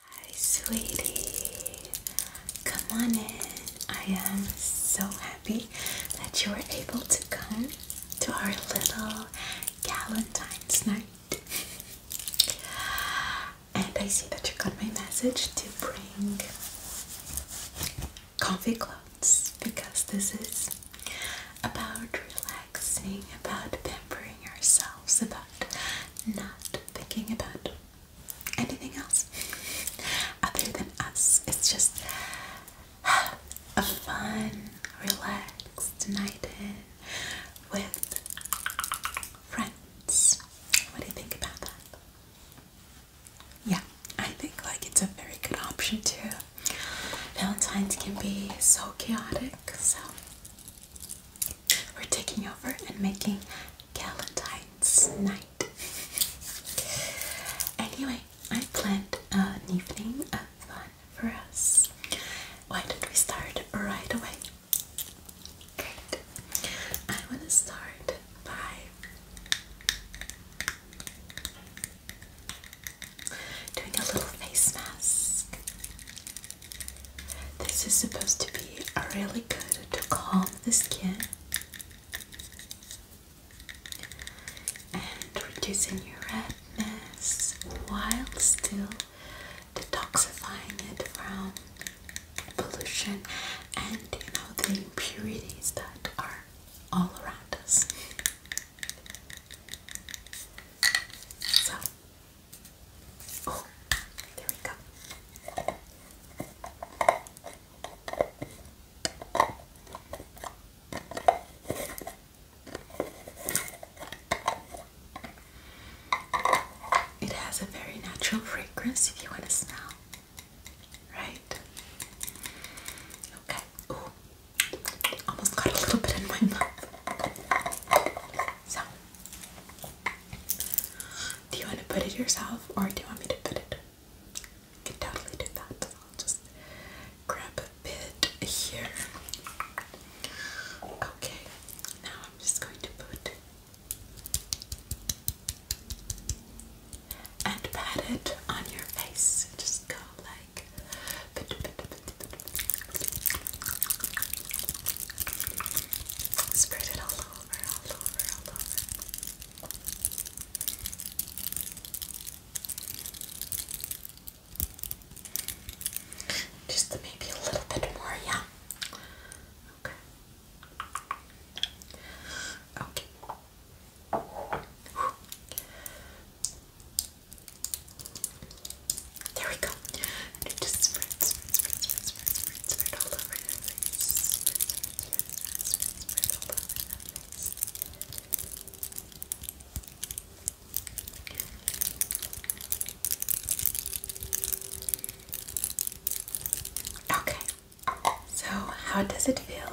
Hi, sweetie. Come on in. I am so happy that you were able to come to our little Valentine's night. and I see that you got my message to bring comfy clothes because this is about relaxing, about pampering ourselves, about not thinking about anything else other than us. It's just a fun, relaxed night in with friends. What do you think about that? Yeah, I think like it's a very good option too. Valentine's can be so chaotic, so we're taking over and making Galentine's night. anyway, I planned an evening of fun for us. Why don't we start right away? Great. I want to start by doing a little face mask. This is supposed to be really good to calm the skin and reducing your redness while still detoxifying it from pollution and you know the impurities that are all around us. So Oh, there we go. It has a very natural fragrance if you want to smell. Right? Okay. Ooh. Almost got a little bit in my mouth. So do you want to put it yourself or do you want me to put it? You totally do that. I'll just grab a bit here. Okay, now I'm just going to put and pat it on your face. Just go like Spread it all over, all over, all over. Just maybe a little bit more, yeah. Okay. Okay. There we go. And it just spreads, spreads, spreads, spreads, spreads, spreads, all over Okay. So, how does it feel?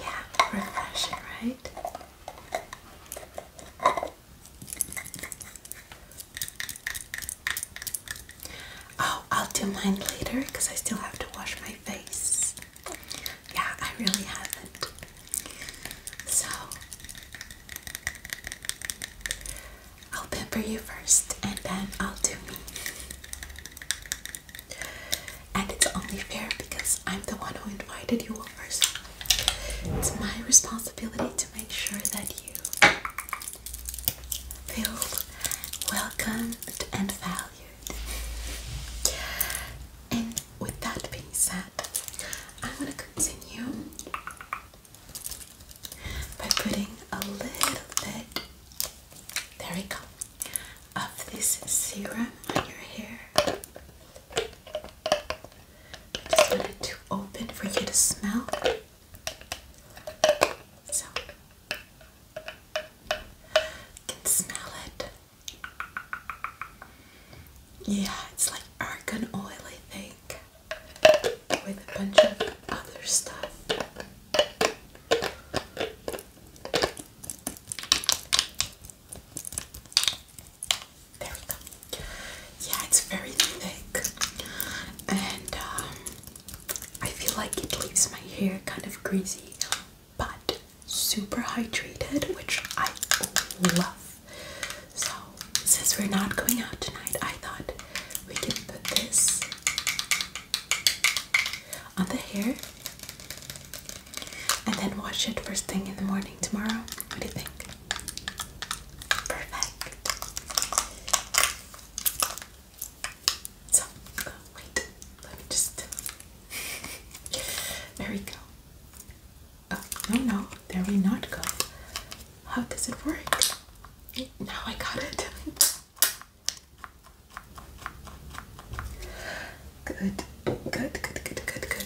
Yeah, refreshing, right? Oh, I'll do mine later because I still have to wash my face. Yeah, I really haven't. So, I'll pepper you first and then I'll do me. And it's only fair because I'm the one who invited you over. it's my responsibility to make sure that you feel welcomed and valued. And with that being said, I'm going to continue by putting a little bit, there we go, of this serum on your hair. I just wanted to open for you to smell. So you can smell it. Yeah, it's like argan oil, I think, with a bunch of other stuff. There we go. Yeah, it's very thick, and um, I feel like it leaves my hair kind of greasy, but super hydrated, which I love. So, since we're not going out tonight, I thought we could put this on the hair and then wash it first thing in the morning tomorrow. What do you think? Perfect. So, oh, wait, let me just. there we go. Oh, no, no, there we not go. How does it work? Now I got it. Good, good, good, good, good, good.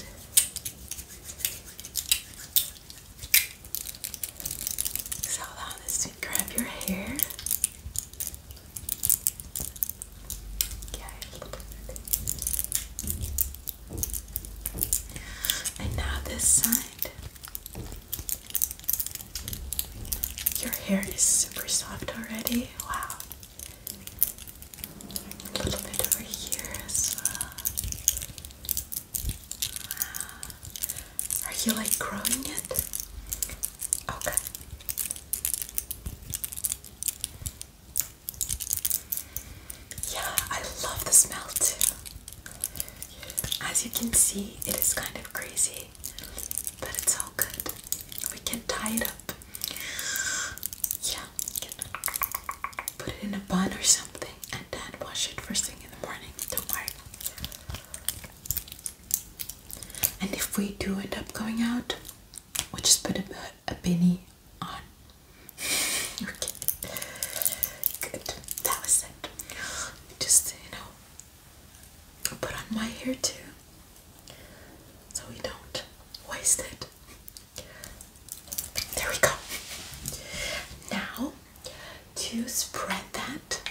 So allow this to grab your hair. Yeah, and now this side. Your hair is super soft already. Wow. A little bit over here as well. Are you like growing it? Okay. Yeah, I love the smell too. As you can see, it is kind of crazy, but it's all good. We can tie it up. Yeah, put it in a bun or something, and then wash it first thing in the morning. Don't worry. And if we do end up going out, we just put a, a beanie on. okay. Good. That was it. Just, you know, put on my hair too. So we don't waste it. There we go. Now to spread that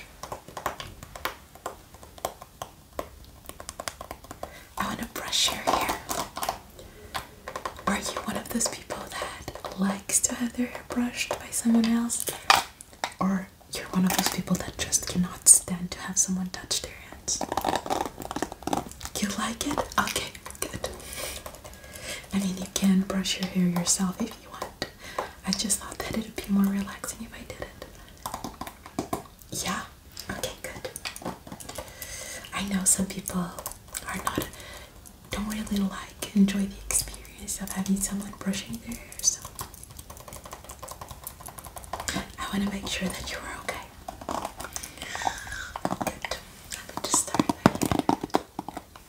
I want to brush your hair. Are you one of those people that likes to have their hair brushed by someone else? Or you're one of those people that just cannot stand to have someone touch their hands? You like it? Okay, good. I mean, you can brush your hair yourself if you want. I just thought that it would be more relaxing if I did it. Yeah? Okay, good. I know some people are not, don't really like, enjoy the experience of having someone brushing their hair, so I want to make sure that you are okay. Good. Let me just start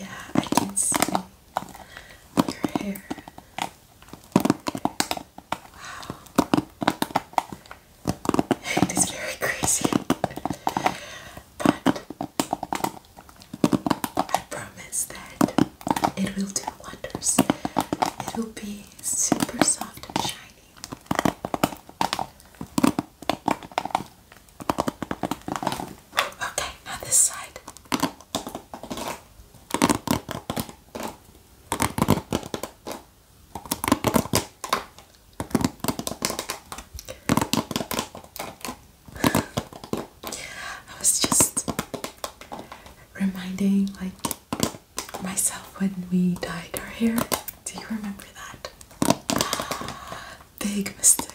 Yeah, I can see your hair. Wow. It is very crazy. But I promise that it will do wonders. It will be super soft and shiny. Okay, now this side. I was just reminding like myself when we dyed our hair. Do you remember that? big mistake.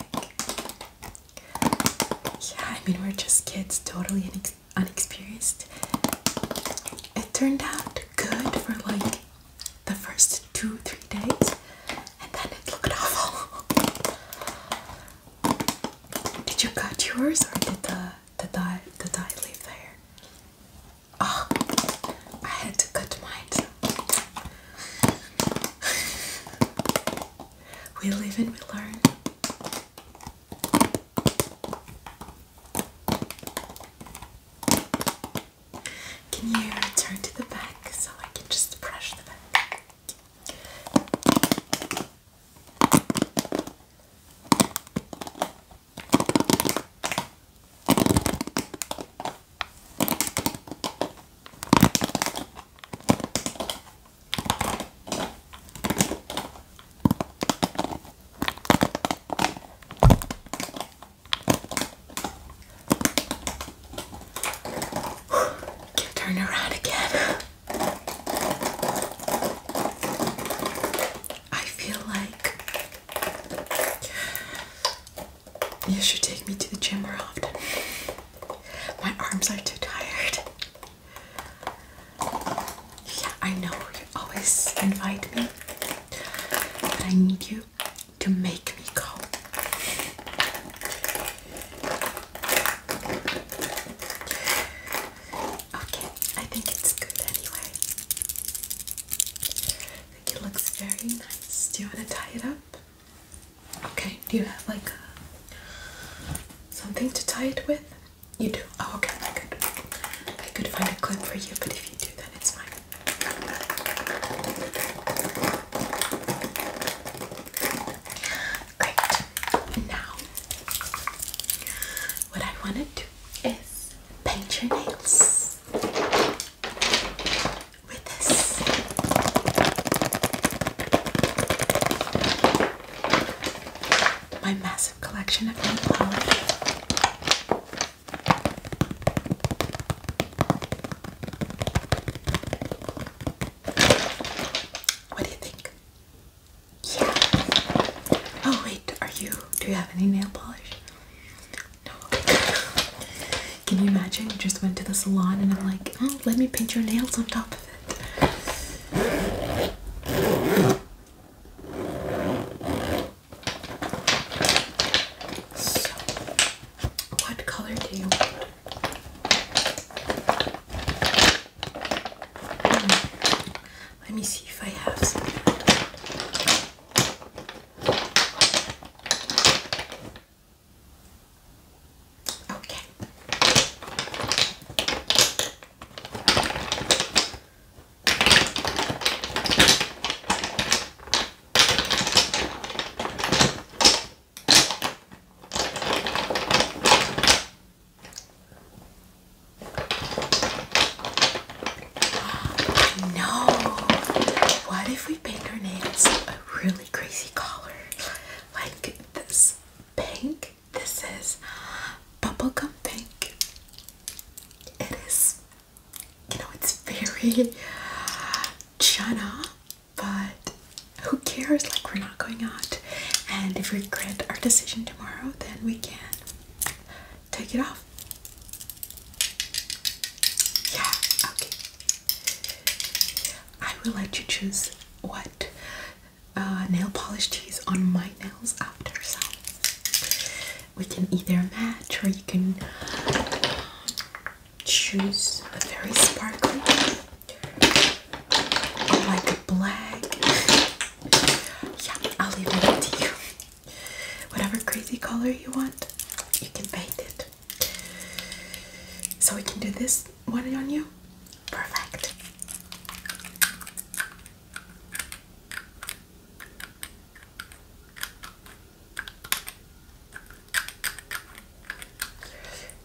Yeah, I mean, we're just kids, totally unexperienced. It turned out good for like the first two, three days, and then it looked awful. Did you cut yours or did the the dye the dye leave there? Oh, I had to cut mine. We live and we learn. Can you turn to the back so I can just brush the back? Can turn around again. I feel like you should take me to the gym more often. My arms are too tired. Yeah, I know you always invite me, but I need you to make me go. Okay, I think it's good anyway. I think it looks very nice. Do you want to tie it up? Okay, do you have like uh, something to tie it with? You do? Oh, okay, I could, I could find a clip for you, but if you do, then it's fine. Great. Now, what I want to do is paint your nails with this. My massive collection of nail polish. What do you think? Yeah. Oh wait, are you? Do you have any nail polish? No. Can you imagine? You just went to the salon and I'm like, oh, let me paint your nails on top what color do you want? Hmm. Let me see if I have some. Okay. No. What if we paint our nails a really crazy color like this? pink. This is bubblegum pink. It is, you know, it's very chana, but who cares? Like, we're not going out. And if we regret our decision tomorrow, then we can take it off. Yeah, okay. I will let you choose what uh, nail polish to use on my nails after. So we can either match or you can choose a very sparkly or like a black. Yeah, I'll leave it up to you. Whatever crazy color you want, you can paint it. So we can do this just on you? Perfect.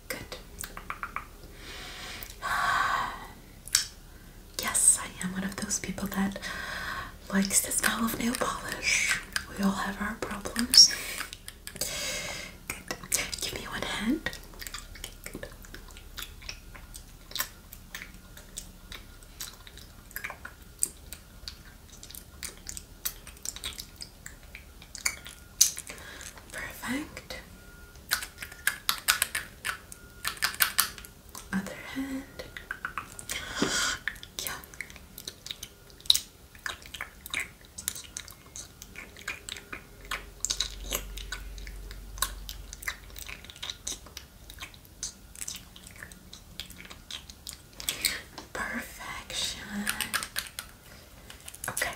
Good. Yes, I am one of those people that likes the smell of nail polish. We all have our problems. Give me one hand. Perfect. Other hand. Yeah. Perfection. Okay,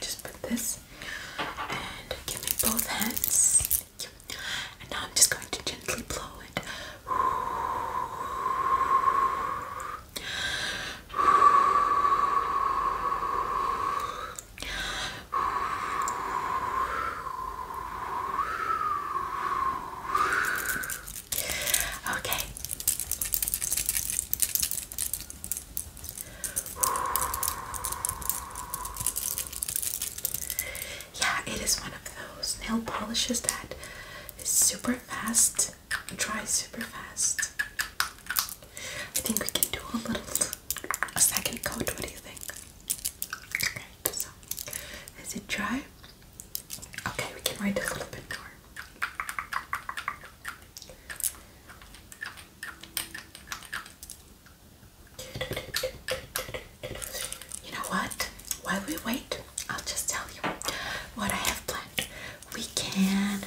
just put this and give me both hands. Thank you. And now I'm just going to gently blow it. Okay. Yeah, it is one of those nail polishes that is super fast, dries super fast. I think we can do a little, a second coat. What do you think? Okay, so is it dry? Okay, we can write a little bit more. You know what? While we wait, I'll just tell you what I have planned. We can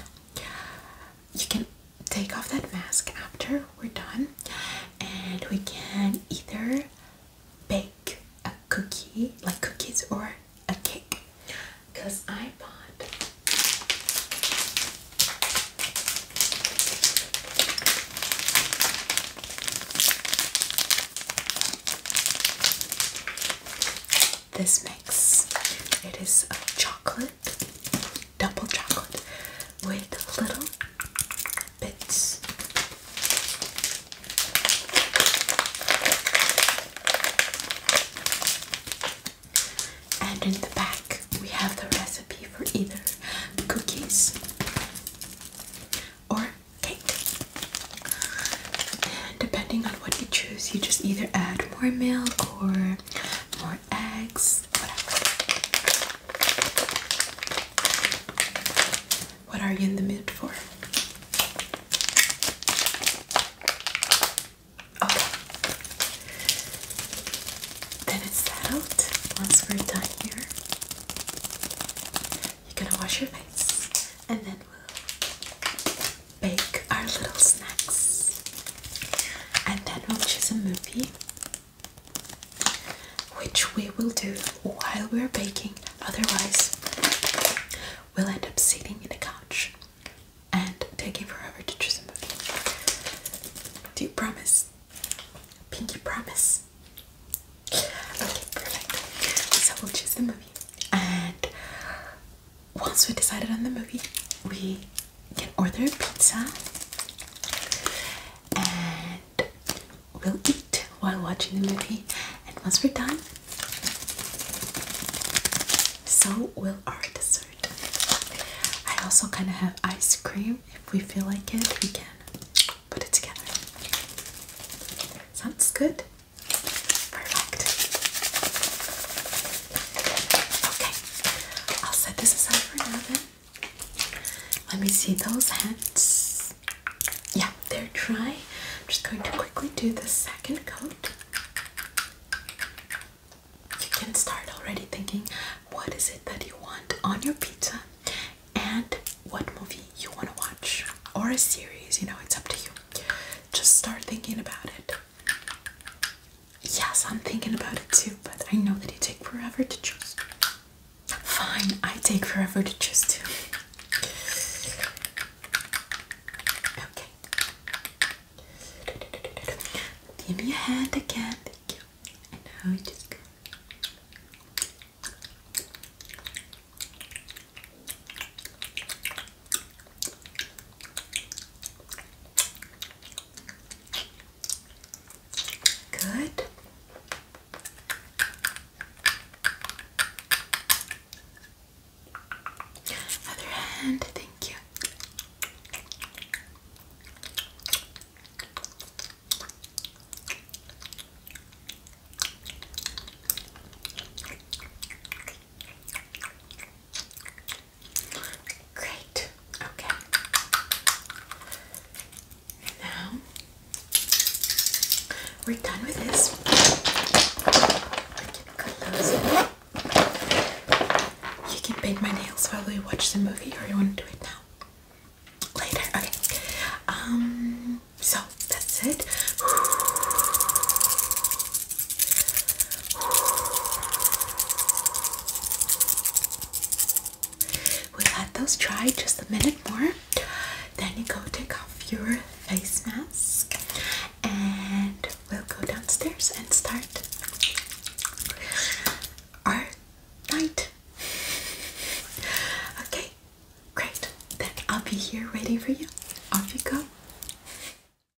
you can take off that mask after we're done, and we can either bake a cookie, like cookies, or a cake. Because I bought this mix. It is a chocolate, double chocolate, with little bits and in the back we have the recipe for either cookies or cake depending on what you choose you just either add more milk or more, eggs, What are you in the mood for? Okay. Then it's settled. Once we're done here, you're gonna wash your face and then we'll bake our little snacks. And then we'll choose a movie which we will do while we're baking, otherwise, we'll end up sitting in a couch and taking forever to choose a movie. Do you promise? Pinky promise. Okay, perfect. So we'll choose the movie and once we decide on the movie, we can order pizza and we'll eat while watching the movie. And once we're done, so will our dessert. I also kind of have ice cream. If we feel like it, we can put it together. Sounds good? Perfect. Okay, I'll set this aside for now Let me see those hands. Yeah, they're dry. I'm just going to quickly do the second coat. You can start already thinking what is it that you want on your pizza and what movie you want to watch or a series, you know, it's up to you. Just start thinking about it. Yes, I'm thinking about it too, but I know that you take forever to choose. Fine, I take forever to choose too. Okay. Give me a hand again, thank you. And now we just Good. Other hand, thank you. Great. Okay. now we're done with this. You can paint my nails while we watch the movie, or you want to do it now? Later. Okay. Um. So that's it. We let those dry just a minute more. Then you go take off your face mask and we'll go downstairs and start our night. Okay, great. Then I'll be here waiting for you. Off you go.